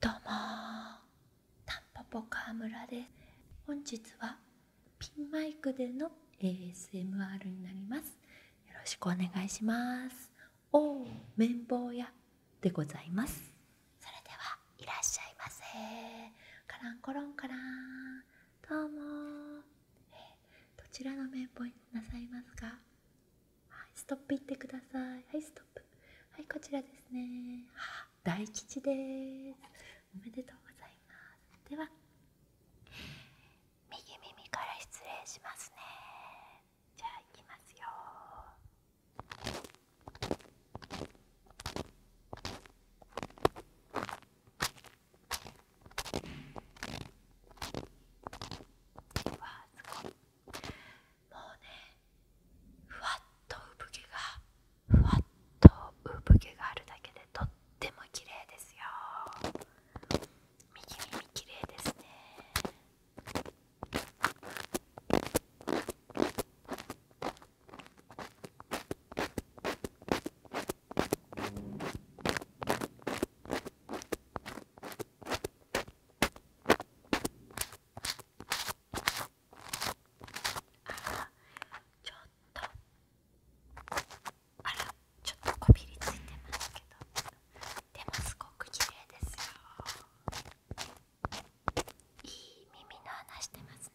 どうもタンポポ川村です本日はピンマイクでの ASMR になりますよろしくお願いしますおお綿棒屋でございますそれではいらっしゃいませカランコロンカラどうも、どちらの綿棒になさいますかはいストップいってくださいはいストップはいこちらですね大吉ですおめでとうございますでは右耳から失礼しますねじゃあいきますよわあすごい。もうねふわっと産毛がふわっと産毛があるだけでとっても綺麗ですよ右耳綺麗ですね耳あら、ちょっとあらちょっとこびりついてますけどでもすごく綺麗ですよいい耳の穴してますね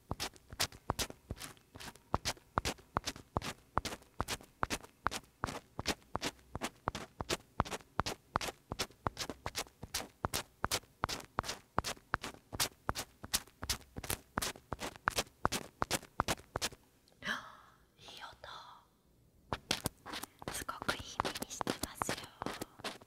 いい音すごくいい目にしてますよ。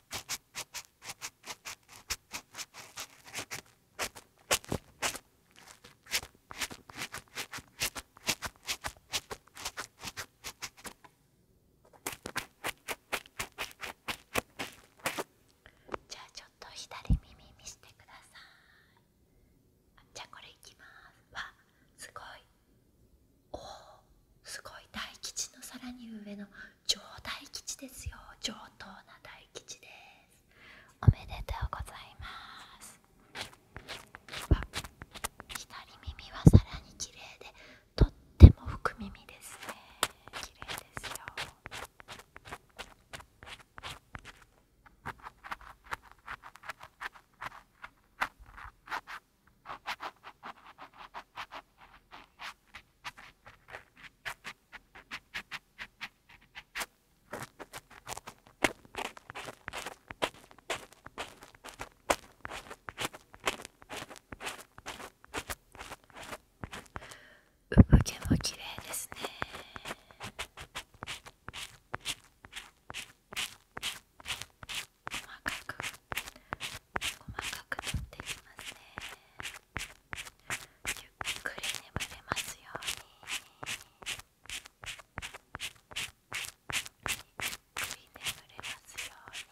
じゃあちょっと左耳見せてください。じゃあこれいきます。わすごいおすごい大吉のさらに上の上大吉ですよ上等な大吉ですおめでとうございます左耳はさらに綺麗でとっても福耳ですね綺麗ですよ産毛も綺麗ですね。細かく細かく取っていきますねゆっくり眠れますようにゆっくり眠れますように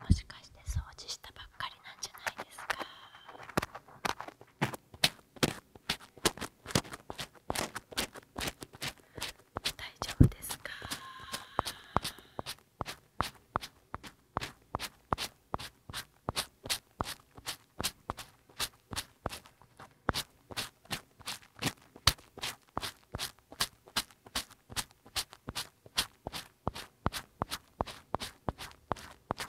もしかして掃除したばかり？っなんじゃないですか大丈夫ですか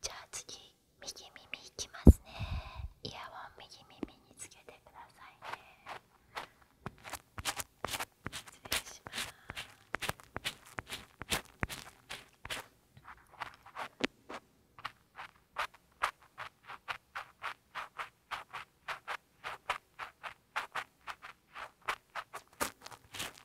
じゃあ次右耳いきますねイヤホン右耳につけてくださいね失礼します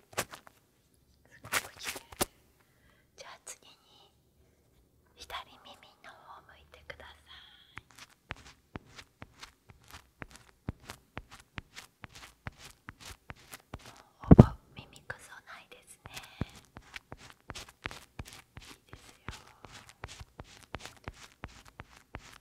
すごくきれいじゃあ次に左耳の方を向いてくださいもうほぼ耳くそないですねいいですよ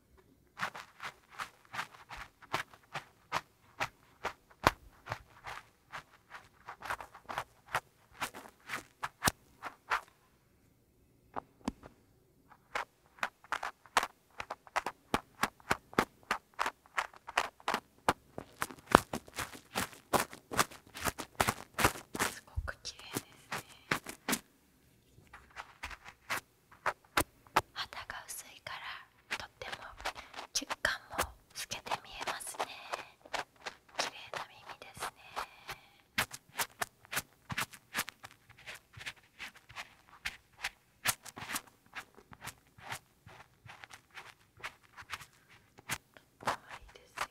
すごく綺麗ですね。肌が薄いからとっても血管も透けて見えますね綺麗な耳ですねとっいですよ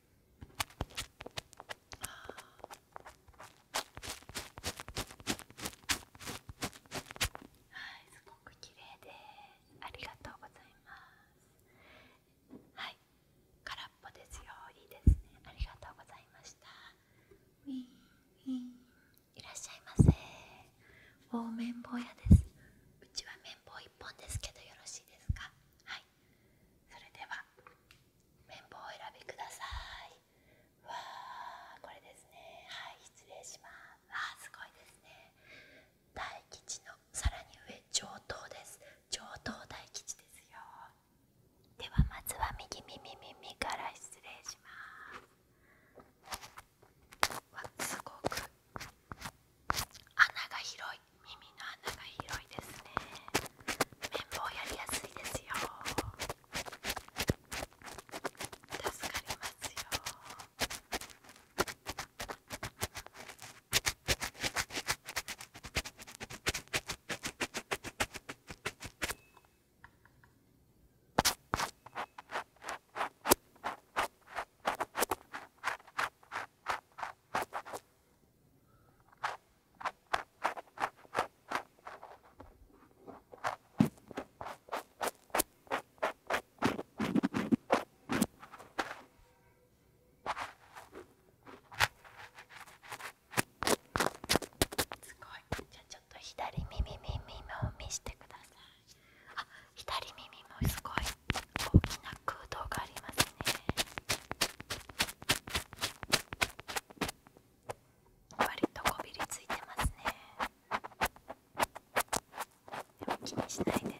はい、すごく綺麗でありがとうございます。はい、空っぽですよ。いいですね。ありがとうございました。ウィンウィンいらっしゃいませ。お綿棒屋です。うちは綿棒一本ですけどよろしいですか。はい、それでは綿棒を選びくださいわあ、これですねはい失礼しますわあすごいですね大吉のさらに上上等です上等大吉ですよではまずは右耳耳から失礼しますわすごく穴が広いい耳の穴が広いですね綿棒やりやすいですよ助かりますよすごいじゃあちょっと左耳耳を見してくださいあ左耳もすごい大きな空洞がありますね割とこびりついてますねでも気にしないでね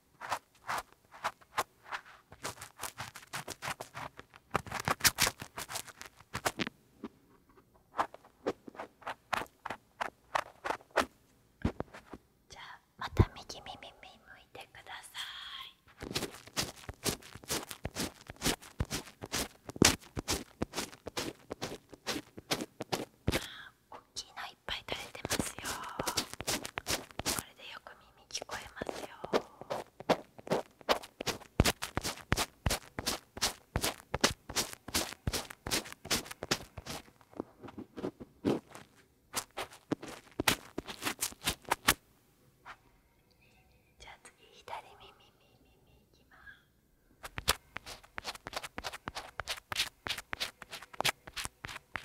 じゃきいのいっぱい垂れてますよ。これでよく耳耳聞こえますよ。じゃあ次左耳耳耳いきます。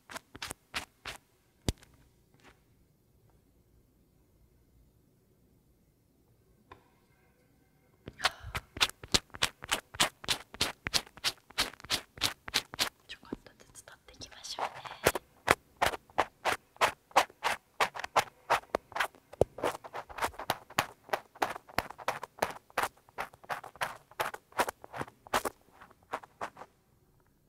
ちょこっとずつ取っていきましょうね。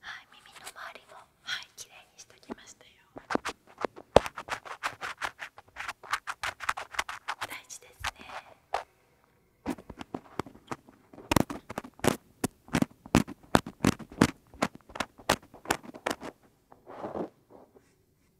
はい、耳の周りもはい、綺麗にしてきましたよ。大事ですね。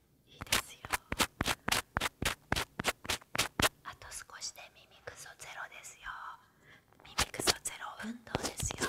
いいですよあと少しで耳くそゼロですよ耳くそゼロ運動ですよ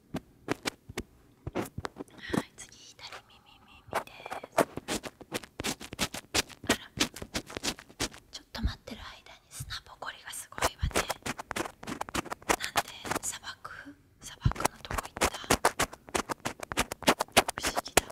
はい次左耳耳ですあらちょっと待ってる間に砂ぼこりがすごいわねなんで砂漠砂漠のとこ行った不思議だわ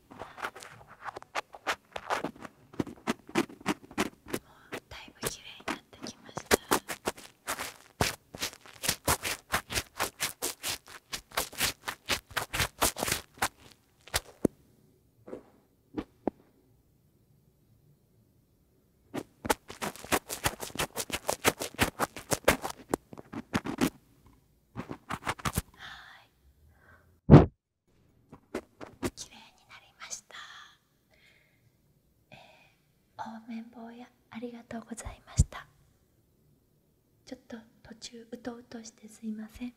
だいぶ綺麗になってきましたはい綺麗になりました、えー、お綿棒やありがとうございましたちょっと途中うとうとしてすいません